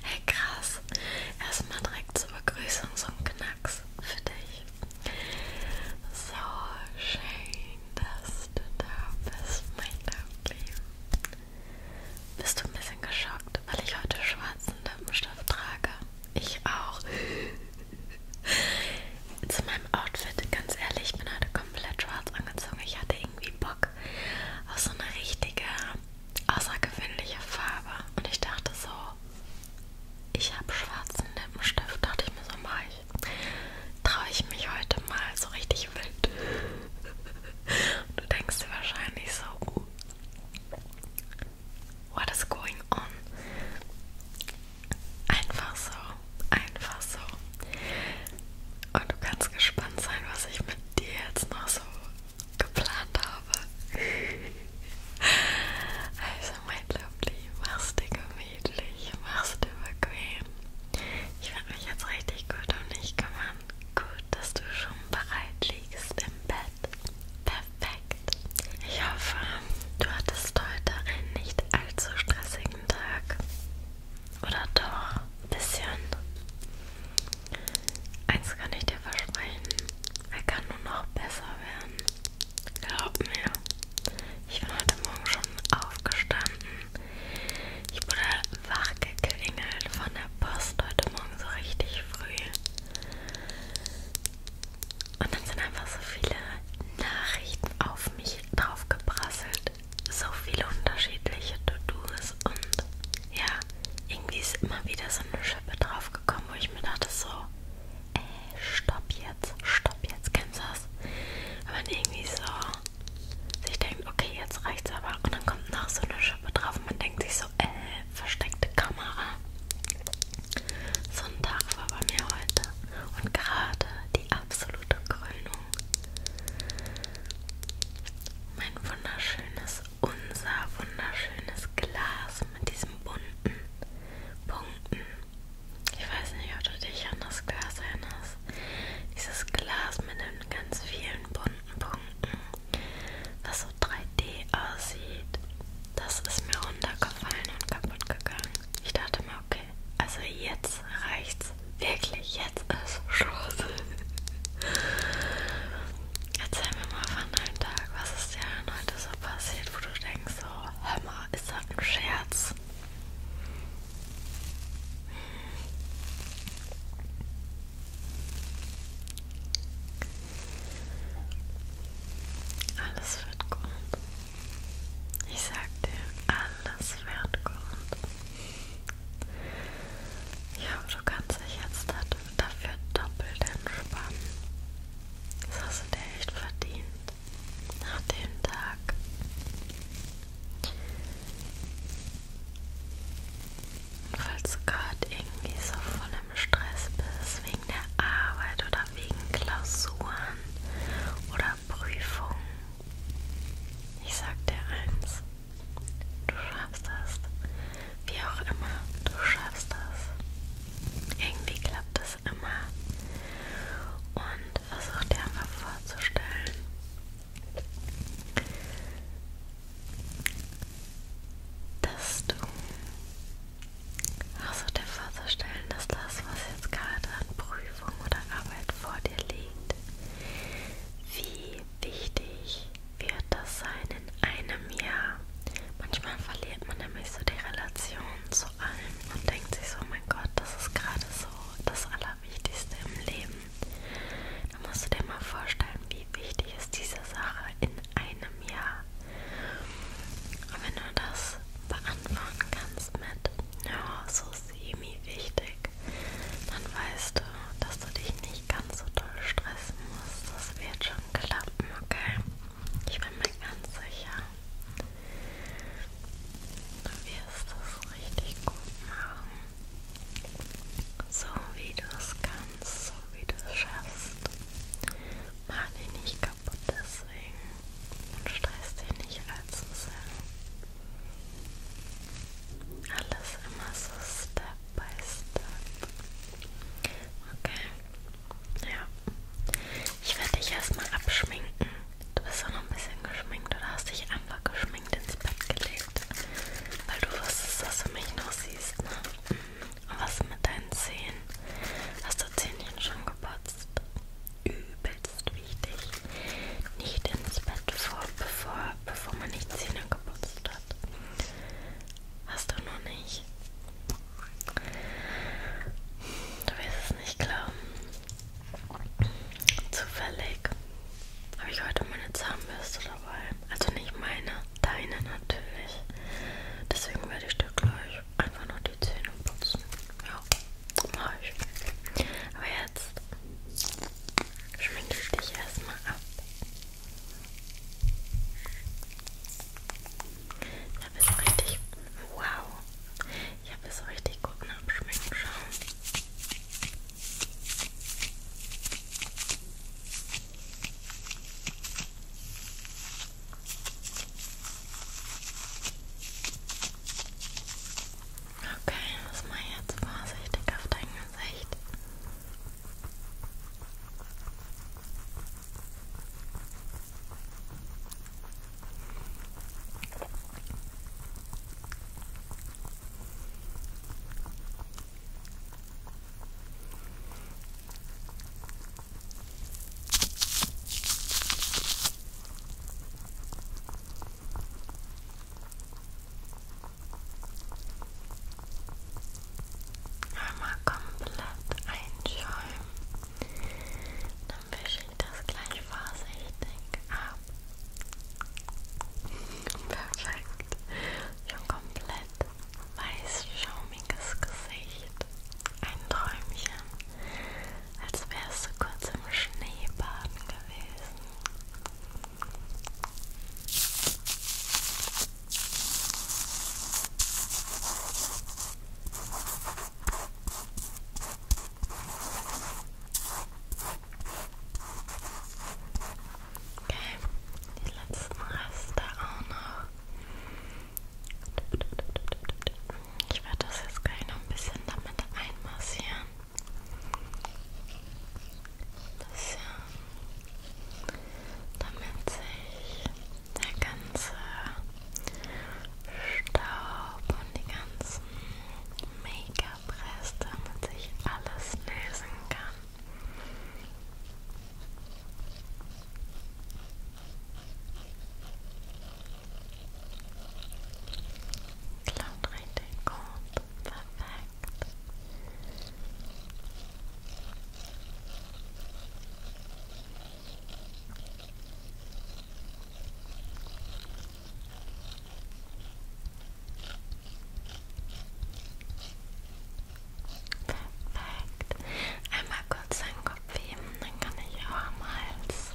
Hey, krass. Erstmal direkt zur Begrüßung so ein Knacks für dich. So schön, dass du da bist, mein Liebling. Bist du ein bisschen geschockt, weil ich heute schwarzen Lippenstift trage? Ich auch. Zu meinem Outfit, ganz ehrlich, ich bin heute komplett schwarz angezogen. Ich hatte irgendwie Bock, Rock. Auch so eine richtige, außergewöhnliche Farbe. Und ich dachte so, ich habe schwarzen Lippenstift. Dachte ich mir so, mach ich. Traue ich mich heute mal so richtig wild. du denkst dir wahrscheinlich so, uh, what is going on? Einfach so, einfach so. Und ah, du kannst gespannt sein, was ich mit dir jetzt noch so geplant habe. Also, mein Lovely, mach's dir gemütlich, mach's dir bequem. Ich werde mich jetzt richtig gut um dich kümmern. Gut, dass du schon bereit liegst im Bett. Perfekt. Ich hoffe, du hattest heute einen nicht allzu stressigen Tag. Oder doch? Ein bisschen. Eins kann ich dir versprechen. Er kann nur noch besser werden. Glaub mir. Ich bin heute Morgen schon aufgestanden. Ich wurde wach geklingelt von der Post heute Morgen so richtig früh. Und dann sind einfach so viele Nachrichten auf mich draufgeprasselt so viele unterschiedliche To-Dos und ja, irgendwie ist immer wieder so eine Schippe draufgekommen, wo ich mir dachte so, ey, stopp jetzt, stopp jetzt, kennst du das? Wenn man irgendwie so sich denkt, okay, jetzt reicht's aber und dann kommt noch so eine Schippe drauf und man denkt sich so, ey, äh, versteckte Kamera. So ein Tag war bei mir heute und gerade die absolute Krönung mein wunderschönes, unser wunderschönes Glas mit diesen bunten Punkten. Ich weiß nicht, ob du dich an das Glas erinnerst. Dieses Glas mit den ganz vielen bunten Punkten, was so 3D aussieht, das ist mir runtergefallen und kaputt gegangen. Ich dachte mir, okay, also jetzt jetzt reicht's. Wirklich, jetzt ist Schluss. Erzähl mir mal von deinem Tag. Was ist dir denn heute so passiert, wo du denkst, so, hör mal, ist das ein Scherz? Alles wird gut. Ich sag dir, alles wird gut. Ja, du kannst dich jetzt dafür doppelt entspannen. Das hast du dir echt verdient. Nach dem Tag. Und falls du gerade irgendwie so voll im Stress bist, wegen der Arbeit oder wegen Klausuren oder Prüfungen, ich sag dir eins. Du schaffst das. Wie auch immer, du schaffst das. Irgendwie klappt es immer. Und versuch dir einfach vorzustellen, dass du versuch dir vorzustellen, dass das, was jetzt gerade an Prüfung oder Arbeit vor dir liegt, wie wichtig wird das sein in einem Jahr? Manchmal verliert man nämlich so die Relation zu allem und denkt sich so, mein Gott, das ist gerade so das Allerwichtigste im Leben. Da musst du dir mal vorstellen, wie wichtig ist diese Sache in einem Jahr. Und wenn du das beantworten kannst mit, ja, so semi-wichtig, dann weißt du, dass du dich nicht ganz so doll stressen musst. Das wird schon klappen, okay? Ich bin mir ganz sicher. Du wirst das richtig gut machen. So wie du es kannst, so wie du es schaffst. Mach dich nicht kaputt deswegen und stress dich nicht allzu sehr. Alles immer so Step by Step. Okay. Ja. Ich werde dich erstmal abschminken. Du bist auch noch ein bisschen geschminkt oder hast dich einfach geschminkt ins Bett gelegt. Weil du wusstest, dass du mich noch siehst, ne? Und was mit deinen Zähnen? Hast du Zähnchen schon geputzt? Übelst wichtig nicht ins Bett vor, bevor, bevor man die Zähne geputzt hat. Hast du noch nicht? Du wirst es nicht glauben. Zufällig habe ich heute meine Zahnbürste dabei. Also nicht meine, deine natürlich. Deswegen werde ich dir gleich einfach nur die Zähne putzen. Ja, mach ich. Aber jetzt Schwindel dich erstmal ab. Ich habe es richtig. Wow! Ich habe es richtig gut nachschmecken schauen. Okay, lass mal jetzt vorsichtig auf dein Gesicht. Okay. Einmal komplett einschäumen. Dann wische ich das gleich vorsichtig ab. Perfekt. Schon komplett weißschaumiges Gesicht. Ein Träumchen. Als wärst du kurz im Schneebaden gewesen. Okay, die letzten Reste auch noch. Ich werde das jetzt gleich noch ein bisschen damit einmassieren. Das, ja, äh, damit sich der ganze Staub und die ganzen Make-up-Reste, damit sich alles lösen kann. Klappt richtig gut. Perfekt. Perfekt. Einmal kurz seinen Kopf heben, dann kann ich auch am Hals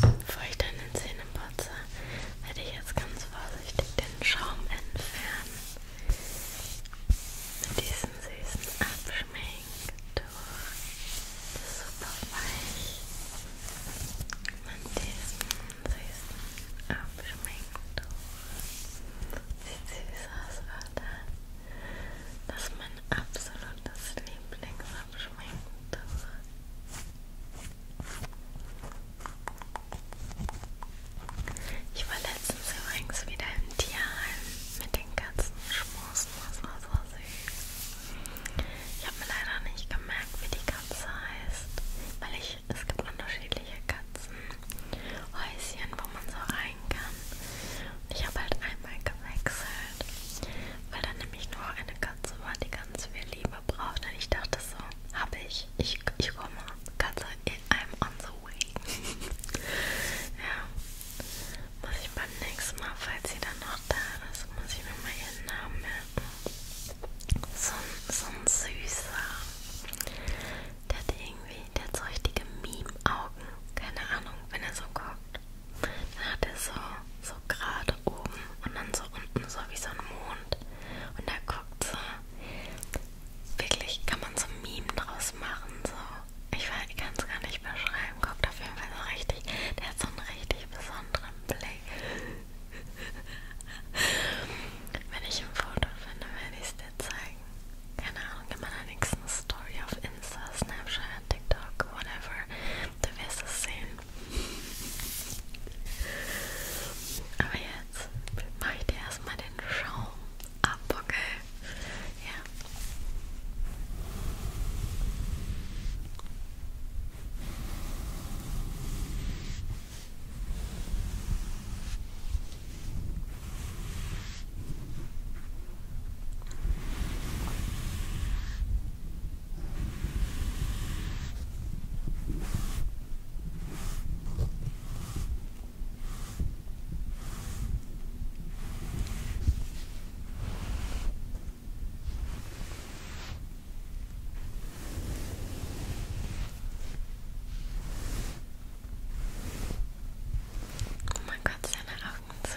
Bevor ich deine Zähne putze, werde ich jetzt ganz vorsichtig den Schaum entfernen. Mit diesem süßen Abschminktuch. Super weich. Mit diesem süßen Abschminktuch. Sieht süß aus, oder? Das ist mein absolutes Lieblingsabschminktuch. Ich war letztens übrigens wieder im Tierheim mit den Katzen schmusen, das war so süß. Ich habe mir leider nicht gemerkt, wie die Katze heißt, weil ich, es gibt unterschiedliche Katzenhäuschen, wo man so rein kann. Und ich habe halt einmal gewechselt, weil dann nämlich nur eine Katze war, die ganz viel Liebe braucht. Und ich dachte so, habe ich. ich. Ich komme. Katze, I'm on the way. ja. Muss ich beim nächsten Mal, falls sie dann noch da ist, muss ich mir mal ihren Namen merken. So, so ein süßer. Der hat irgendwie, der hat so richtige Meme-Augen. Keine Ahnung, wenn er so guckt. Dann hat er so, so gerade oben und dann so unten so wie so ein Mond kommt. Und da guckt so, wirklich kann man so Meme draus machen. So. Ich, ich kann es gar nicht beschreiben. Guckt auf jeden Fall so richtig. Der hat so einen richtig besonderen Blick. Wenn ich ein Foto finde, werde ich es dir zeigen. Keine Ahnung, in meiner nächsten Story auf Insta, Snapchat, TikTok, whatever. Du wirst es sehen. Aber jetzt mache ich dir erstmal den Schaum ab, okay? Ja. Okay. Oh mein Gott, seine Augen sind.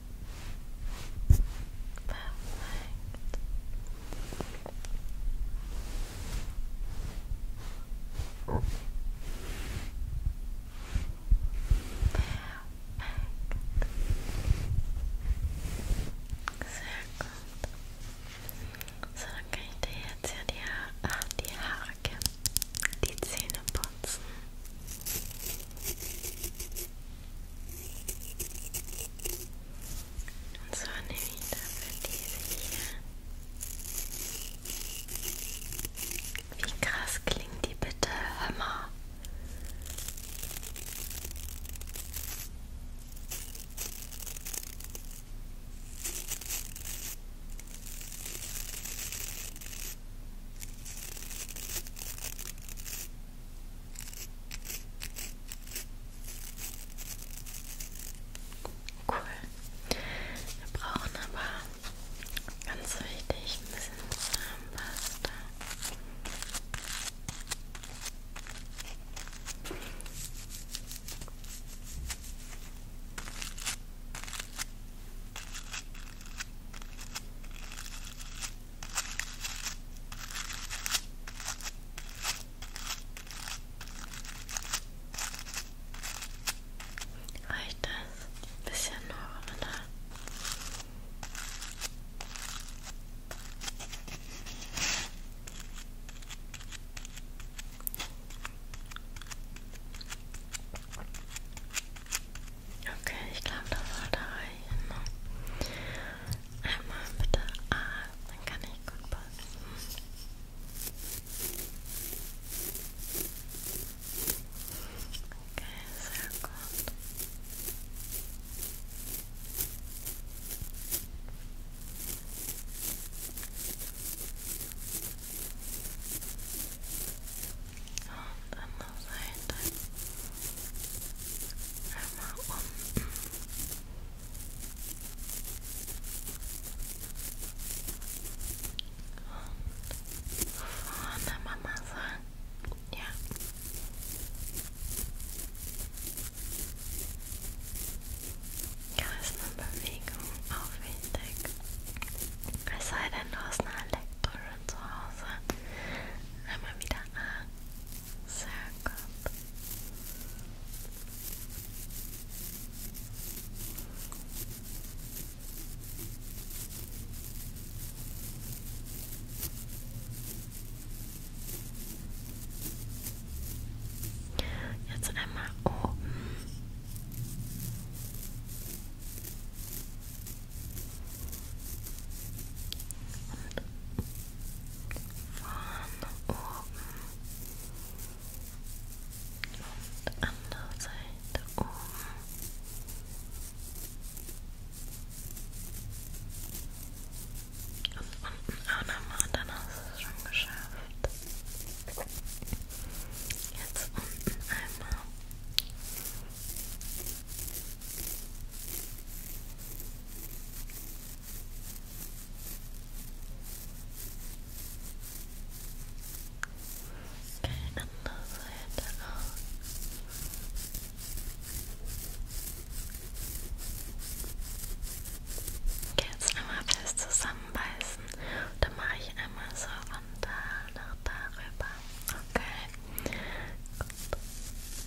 Perfekt. Perfekt. Sehr gut. So, dann kann ich dir jetzt ja die, ha ah, die Haare kämmen, die Zähne putzen. Und so nehme ich dafür diese hier. Wie krass klingt die bitte? Hör mal. Cool. Wir brauchen aber ganz wichtig ein bisschen Zahnpasta. Reicht das? Ein bisschen noch, oder? Okay, ich glaube, das sollte reichen. Ne? Einmal bitte A, ah, dann kann ich gut passen. Okay, sehr gut. Und andere Seite einmal um. Und vorne Mama sagen. Ja. Kreisnummerbewegung auch wichtig. Es sei denn, du hast eine Elektro zu Hause. Einmal wieder an. Sehr gut. Jetzt einmal oben. Und von oben und andere Seite oben. Und unten auch nochmal, dann hast du es schon geschafft. Jetzt unten einmal. Okay, andere Seite auch. Okay, jetzt einmal fest zusammenbeißen. Dann mache ich einmal so von da nach da rüber. Okay. Gut. Ja. Perfekt.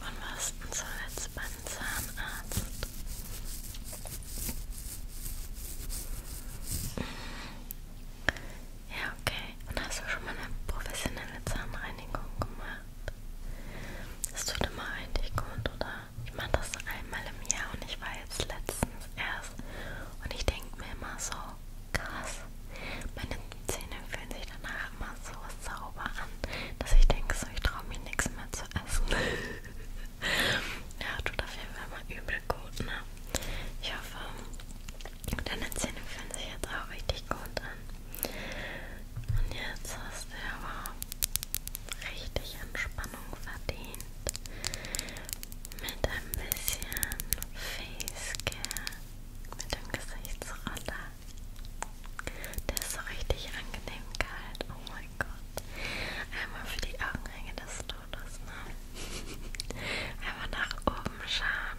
Wann warst du zuletzt beim Zahnarzt? Ja, okay. Und hast du schon mal eine professionelle Zahnreinigung gemacht? Es tut immer richtig gut, oder? Ich mache das einmal im Jahr und ich war jetzt letztens erst und ich denke mir immer so, krass, meine Zähne fühlen sich danach immer so sauber an, dass ich denke so, ich traue mir nichts mehr zu essen. ja, tut auf jeden Fall mal übel gut, ne? Ich hoffe, deine Zähne fühlen sich jetzt auch richtig gut an. Und jetzt hast du aber richtig Entspannung verdient mit ein bisschen Facecare mit dem Gesichtsroller. Der ist so richtig angenehm kalt. Oh mein Gott. Einmal für die Augenringe des Todes, ne? Einmal nach oben schauen.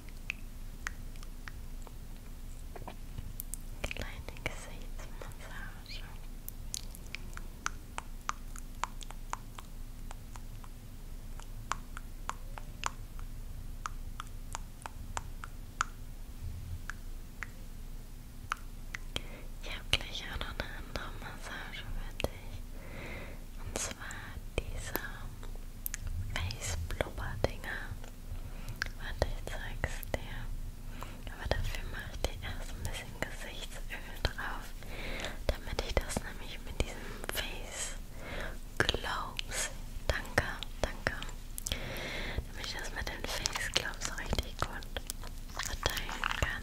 Kleine Gesichtsmassage. Ich habe gleich auch noch eine andere Massage für dich. Und zwar diese Face Blubber Dinger. Warte, ich zeig's dir. Aber dafür mache ich dir erst ein bisschen Gesichtsöl drauf, damit ich das nämlich mit diesem Face Gloves, danke, danke, damit ich das mit den Face Gloves richtig gut verteilen kann.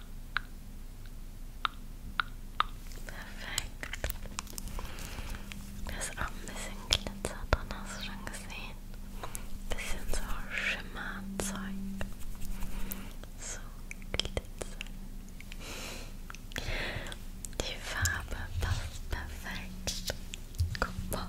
Perfekt. Da ist auch ein bisschen Glitzer drin, hast du schon gesehen? Ein bisschen so Schimmerzeug. So Glitzer. Die Farbe passt perfekt. Guck mal.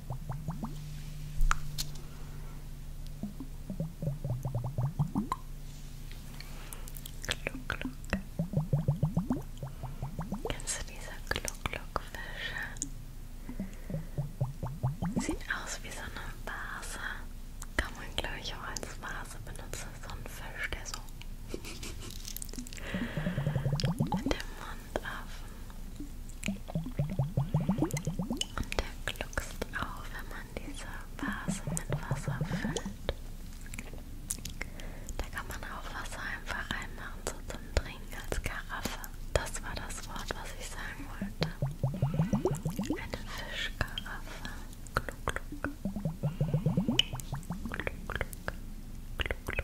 Gluck, Gluck. Kennst du diese Gluck-Gluck-Fische? Sieht aus wie so eine Vase. Kann man, glaube ich, auch als Vase benutzen. So ein Fisch, der so mit dem Mund offen und der gluckst auch, wenn man diese Vase mit Wasser füllt. Da kann man auch Wasser einfach reinmachen, so zum Trinken als Karaffe. Das war das Wort, was ich sagen wollte. Eine Fischkaraffe. Gluck, gluck. Gluck, gluck. Gluck, gluck.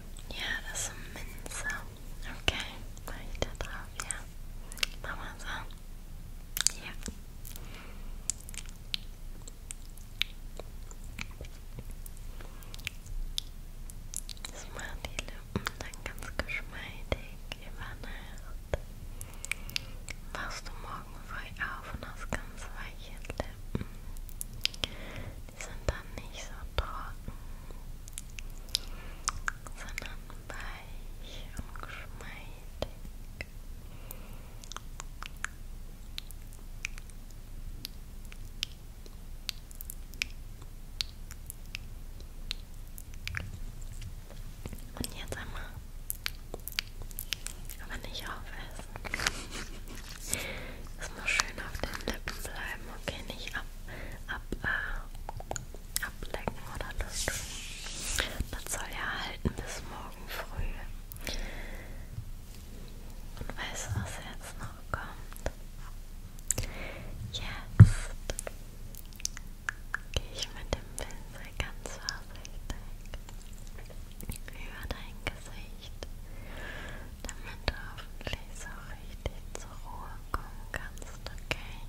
Ja, das ist Minze. Okay, mach ich da drauf, ja. Mach mal so. Ja. Das macht die Lippen dann ganz geschmeidig über Nacht. Wachst du morgen früh auf und hast ganz weiche Lippen. Die sind dann nicht so trocken, sondern weich und geschmeidig. Und jetzt einmal, aber nicht aufessen. Das muss schön auf den Lippen bleiben, okay? Nicht ab, ab, äh, ablecken oder lutschen. Das soll ja halten bis morgen früh. Und weißt du, was jetzt noch kommt? Jetzt gehe ich mit dem Pinsel ganz vorsichtig über dein Gesicht. Licht, damit du hoffentlich so richtig zur Ruhe kommen kannst, okay?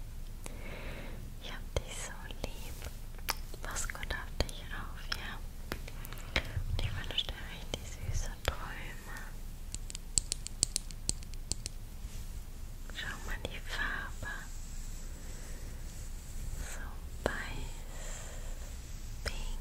Ich hab dich so lieb. Pass gut auf dich auf, ja? Und ich wünsche dir richtig süße Träume. Schau mal die Farbe. So weiß, pink,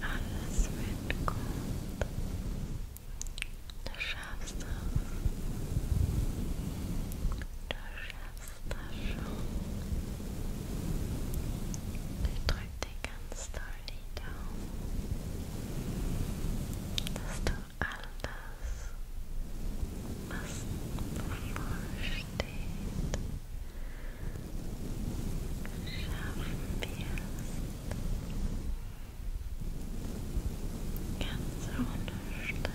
Alles wird gut. Du schaffst das. Du schaffst das schon. Ich drück dir ganz doll die Daumen, dass du all das, was bevorsteht, Schaffen wir es ganz ohne Stress. Ganz